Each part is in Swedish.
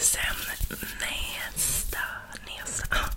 Sen nästa, nästa, ah,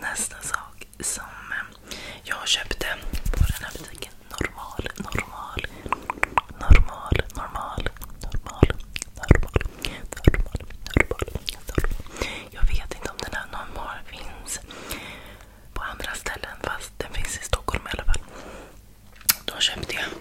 nästa sak som eh, jag köpte på den här butiken. Normal, normal, normal, normal, normal, normal, normal, normal, normal. Jag vet inte om den här normal finns på andra ställen fast den finns i Stockholm i alla fall. Då köpte jag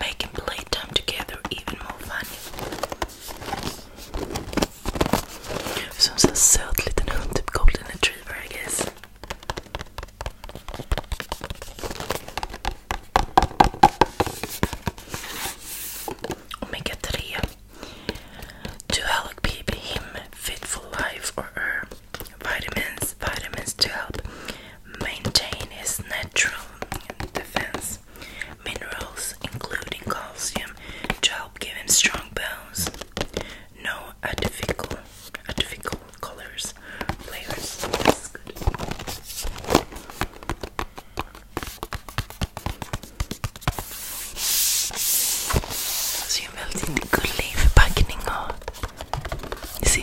making playtime together even more fun. Som en söt liten hund, typ golden Omega 3 To help keep fit for life or Vitamins, vitamins to help maintain his natural defense. Minerals, including calcium, to help give him strong bones. No artificial, artificial colors, flavors. That's good. Så jag är väldigt gullig i förpackning och det ser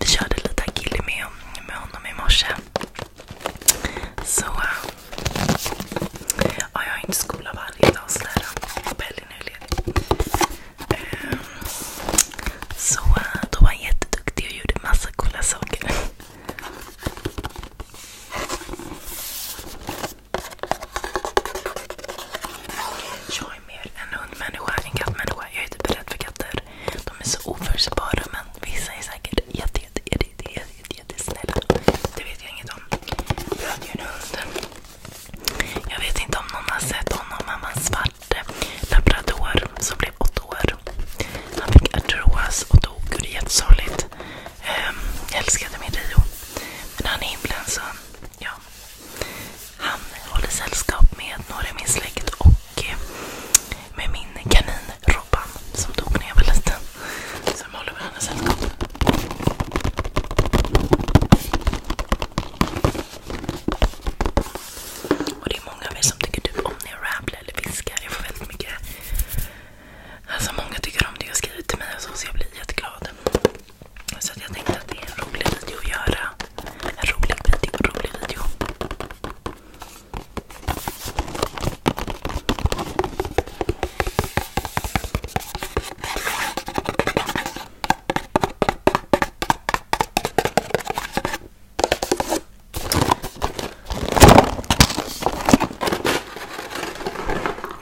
Vi körde lite agility med, honom i eh, jag har inte skola varje dag sådär. Eh, på helgen är ledig. Ehm, så eh, då var han jätteduktig och gjorde massa coola saker. Jag är mer en hundmänniska, en kattmänniska. Jag är typ rädd för katter. De är så oförutsägbara men vissa är säkert jätte, jätte, jättesnälla. Det vet jag inget om. Jag hade ju en hund. Jag vet inte om någon har sett honom han var en svart labrador som blev åtta år. Han fick artros och dog det är jättesorgligt. Jag ehm, älskade min Rio. Men han är himlen så ja. Han håller sällskap med några i min släkt och eh, med min kanin Robban som dog när jag var liten. Så de håller varandra sällskap. Och det är många av er som tycker typ om när jag rabblar eller viskar. Jag får väldigt mycket... Alltså många tycker om det jag skriver till mig och så, så jag blir jätteglad. Så jag tänkte att det är en rolig video att göra. En rolig video, rolig video.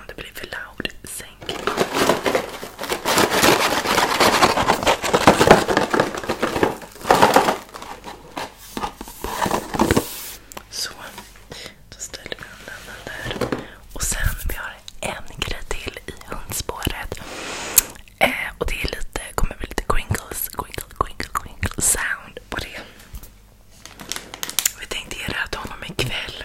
det blir för loud, sänk. Så, då ställer vi undan den där. Och sen, vi har en grej till i hundspåret. Eh, och det är lite, kommer bli lite crinkles, crinkle, crinkle, crinkle sound på det. Vi tänkte ge det här till honom ikväll.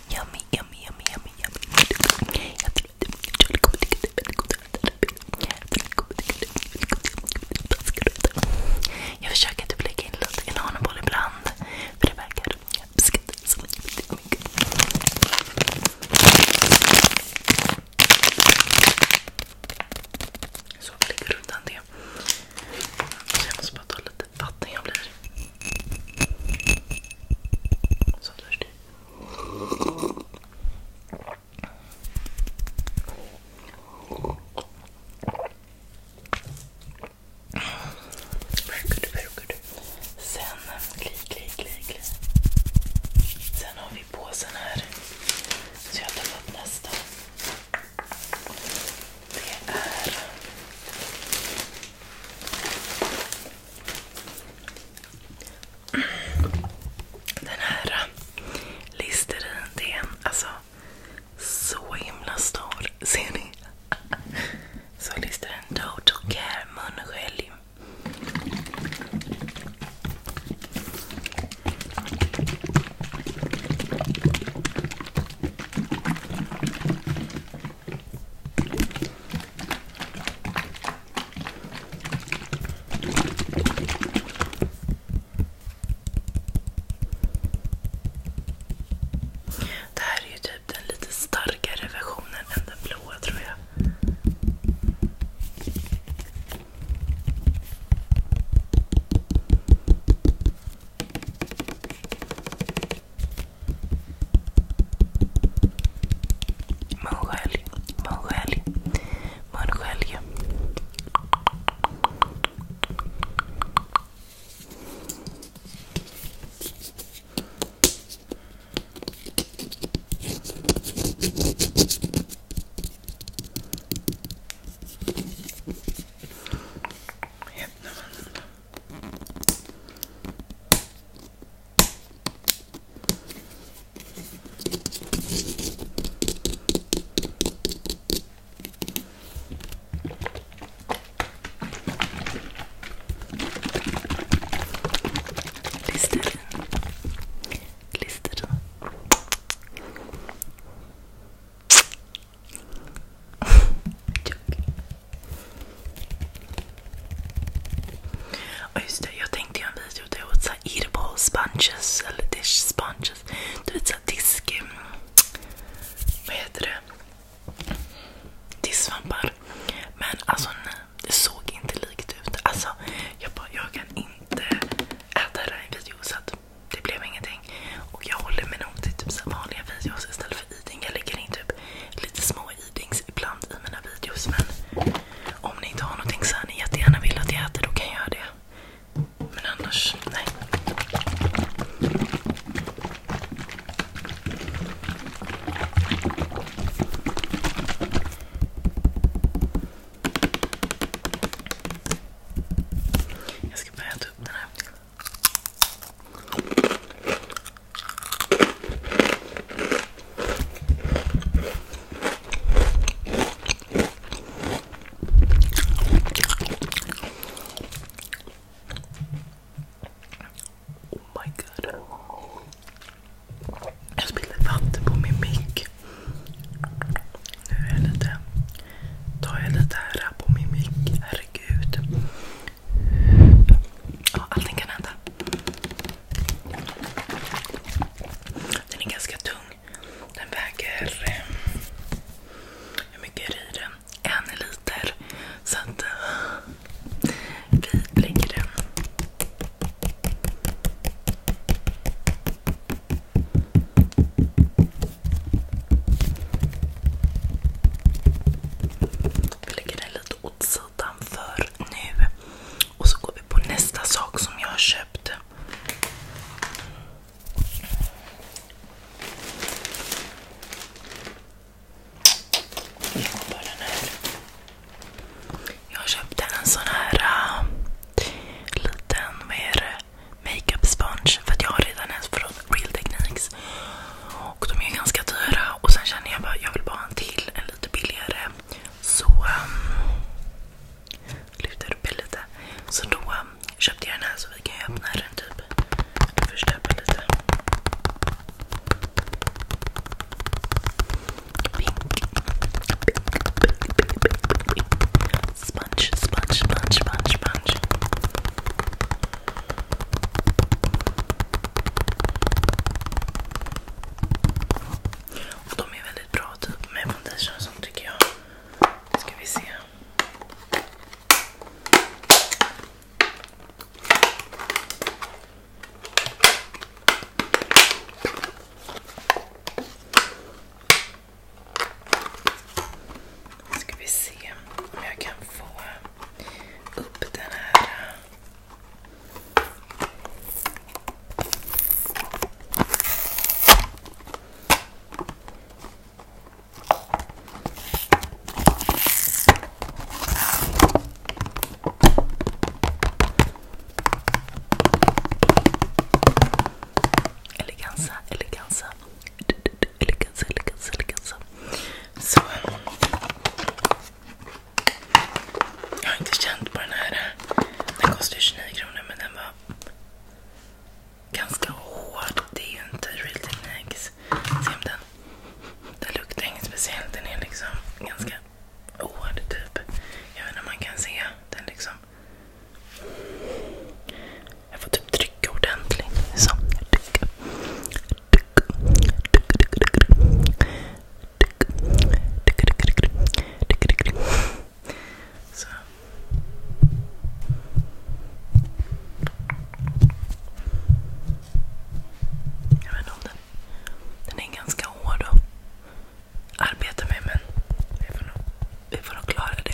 Jag försöker typ lägga in lite inanaboll ibland. För det verkar så vi lägger undan det. Så jag måste bara ta lite vatten. Jag blir så törstig. Very good, very good. Sen, kli, kli, kli, kli. Sen har vi påsen här. Så jag tar upp nästa. Det är den här äh, Listerin, det är en, alltså så himla stor. Ser ni? Så Listerin Total Care munskölj. Det här är ju typ den lite starkare versionen än den blåa tror jag. Mongolia, Mongolia, Mongolia. Yep, no, no, no. Listerin. Listerin. Joke. Och just det, jag tänkte göra en video där jag åt så edible sponges eller dish sponges. Du vet såhär disk... Mm, vad heter det? Disksvampar. Men alltså nej, det såg inte likt ut. Alltså jag bara, jag kan inte äta det här i en video så att det blev ingenting. Och jag håller mig nog till typ så vanliga videos istället för eating. Jag lägger in typ lite små i. Idings ibland i mina videos. Men om ni inte har någonting så här ni jättegärna vill att jag äter, då kan jag göra det. Men annars, nej. Jag ska börja äta upp den här. Oh Jag spillde vatten på min mick. Nu Tar jag lite här på min mick. Herregud. Ja, allting kan hända. Den är ganska tung. Den väger... Eh, hur mycket är det i den? En liter. Så att eh, vi lägger den. Vi lägger den lite åt sidan altan för nu. Och så går vi på nästa sak som jag har köpt. Jag köpte en sån här äh, liten makeup sponge för att jag har redan en från Real Techniques. Och de är ganska dyra. Och sen känner jag bara jag vill bara ha en till, en lite billigare. Så... Um, lutar upp lite. Så då um, köpte jag den här så vi kan öppna den typ. Först lite. Pink. Sponge, sponge, och de är väldigt bra typ med foundation och sånt tycker jag. Ska vi se. Ska vi se om jag kan få upp den här Eleganza, eleganza. Eleganza, eleganza, eleganza. Så. Jag har inte känt på den här. Den kostar 29 kronor men den var ganska hård. Det är ju inte Real Techniques. Se om den. Den luktar inget speciellt. Den är liksom ganska hård typ. Jag vet inte om man kan se. Den liksom. Jag får typ trycka ordentligt. Så. Så. Jag vet inte om den... Den är ganska hård att arbeta med men vi får nog, vi får nog klara det.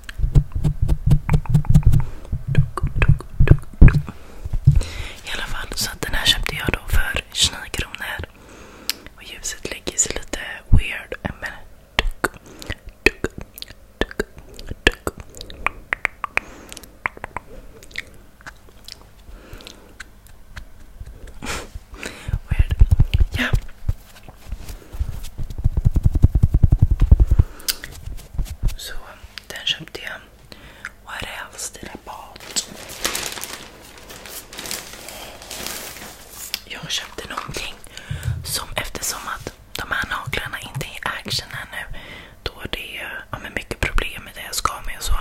I alla fall, så den här köpte jag då för 29 kronor. Och ljuset lägger sig lite weird. Weird. Ja den köpte jag. What else did I bought? Jag köpte någonting som eftersom att de här naglarna inte är i action ännu. nu. Då det är ja, men mycket problem med det jag ska med och så.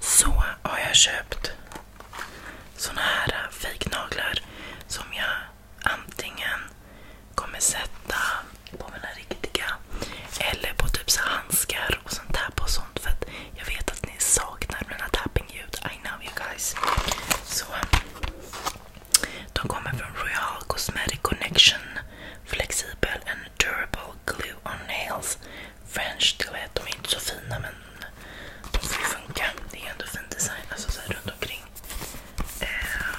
Så har jag köpt såna här eh, fake naglar som jag antingen kommer sätta på mina riktiga eller på typ så handskar och sånt där på sånt för att jag vet att ni saknar mina tapping-ljud. I know you guys. Så de kommer från Royal Cosmetic Connection Flexible and Durable Glue on Nails French. Du vet, de är inte så fina men de får ju funka. Det är ändå fin design alltså så här runt omkring. Um,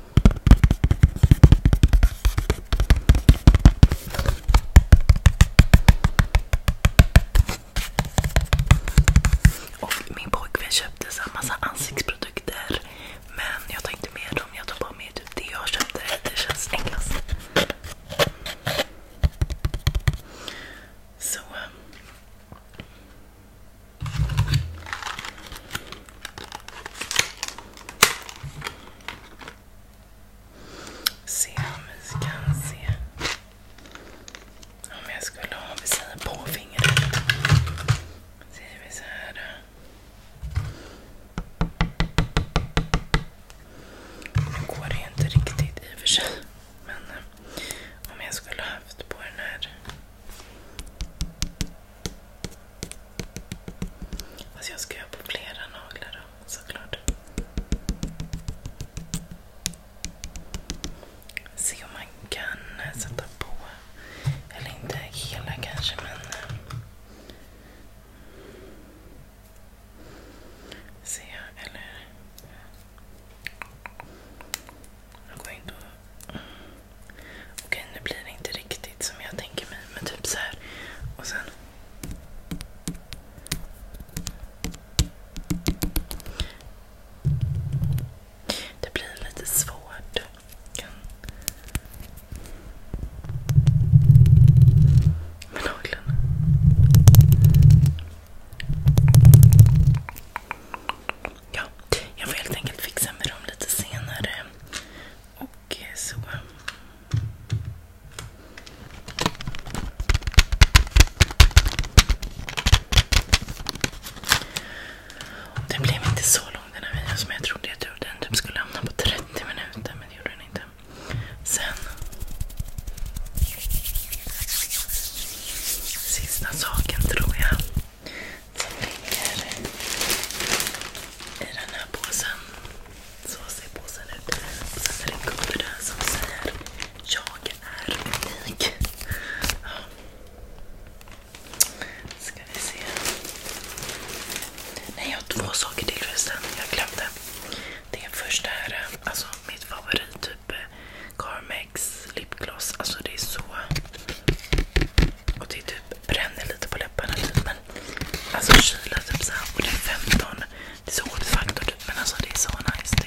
Och min pojkvän köpte så massa ansiktsprodukter. Men jag tar inte med dem, jag tar bara med typ det jag köpte. Det känns enklast. Så. Se om vi kan se om jag skulle ha, vi säger på fingret. Säger vi så Nu går det ju inte riktigt i och för sig. Men eh, om jag skulle haft på den här Fast jag ska göra på flera naglar då, såklart. Se om man kan sätta på, eller inte hela kanske men eh, Okej, nu blir det inte riktigt som jag tänker mig. Men typ så här. Och sen... Det blir lite svårt. Kan... Med naglarna ja, jag får helt enkelt fixa med dem lite senare. Och eh, så... Den blev inte så lång den här videon som jag trodde. Jag trodde den skulle hamna på 30 minuter men det gjorde den inte. Sen... Sista saken tror jag som ligger i den här påsen. Så ser påsen ut. Och sen är det en gubbe där som säger Jag är unik. Ja. Ska vi se. Nej, jag har två saker till förresten. Jag glömde. Det är första här, alltså mitt favorit typ eh, Carmex lipgloss. Alltså det är så och det typ bränner lite på läpparna typ. Men alltså kyla typ såhär. Och det är 15. Det är så återfaktor typ. Men alltså det är så nice det.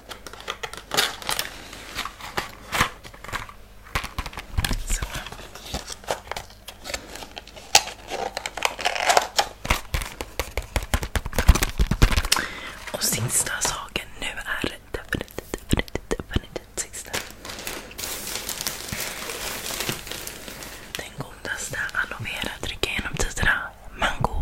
Och sista saken nu är definitivt, definitivt, definitivt sista. Den godaste aloe vera drycken genom tiderna. Mango.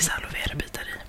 Det är aloe vera bitar i.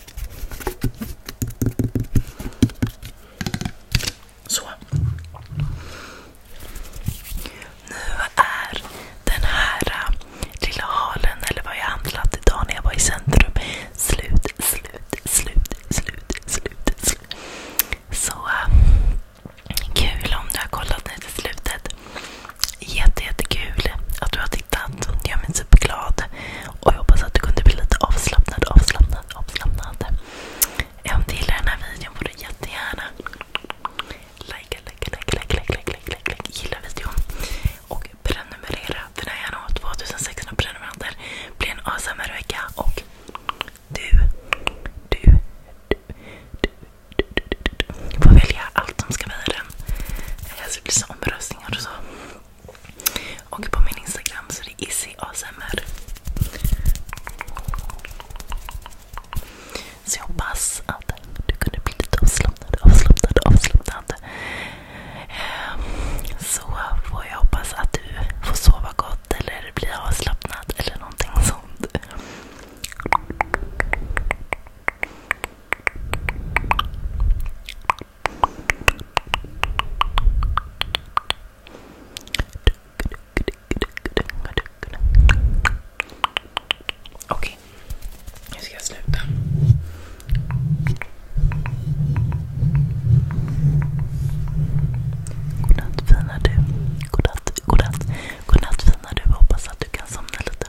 Nu är den här äh, lilla halen, eller vad jag handlat idag när jag var i centrum, slut, slut, slut, slut, slut. slut. Så äh, kul om du har kollat nu till slutet. Jätte, jättekul att du har hittat som gör superglad. Och jag hoppas att du kunde bli lite avslappnad, avslappnad, avslappnad. Om du gillar den här videon får du jättegärna likea, likea, likea, likea, likea, likea, likea, likea, likea, gilla videon. Och prenumerera. För när jag når 2600 prenumeranter blir en ASMR-vecka. Och du, du, du, du, du, du, du får välja allt som ska vara i den. Alltså, det blir så omröst hälsningar och så. Och på min Instagram så är det izzyasmr. Så jag hoppas att du kunde bli lite avslappnad, avslappnad, avslappnad. Ehm, så får jag hoppas att du får sova gott eller blir avslappnad eller någonting sånt. Okej, okay. nu ska jag sluta. Godnatt fina du. Godnatt, godnatt. Godnatt fina du. Hoppas att du kan somna lite.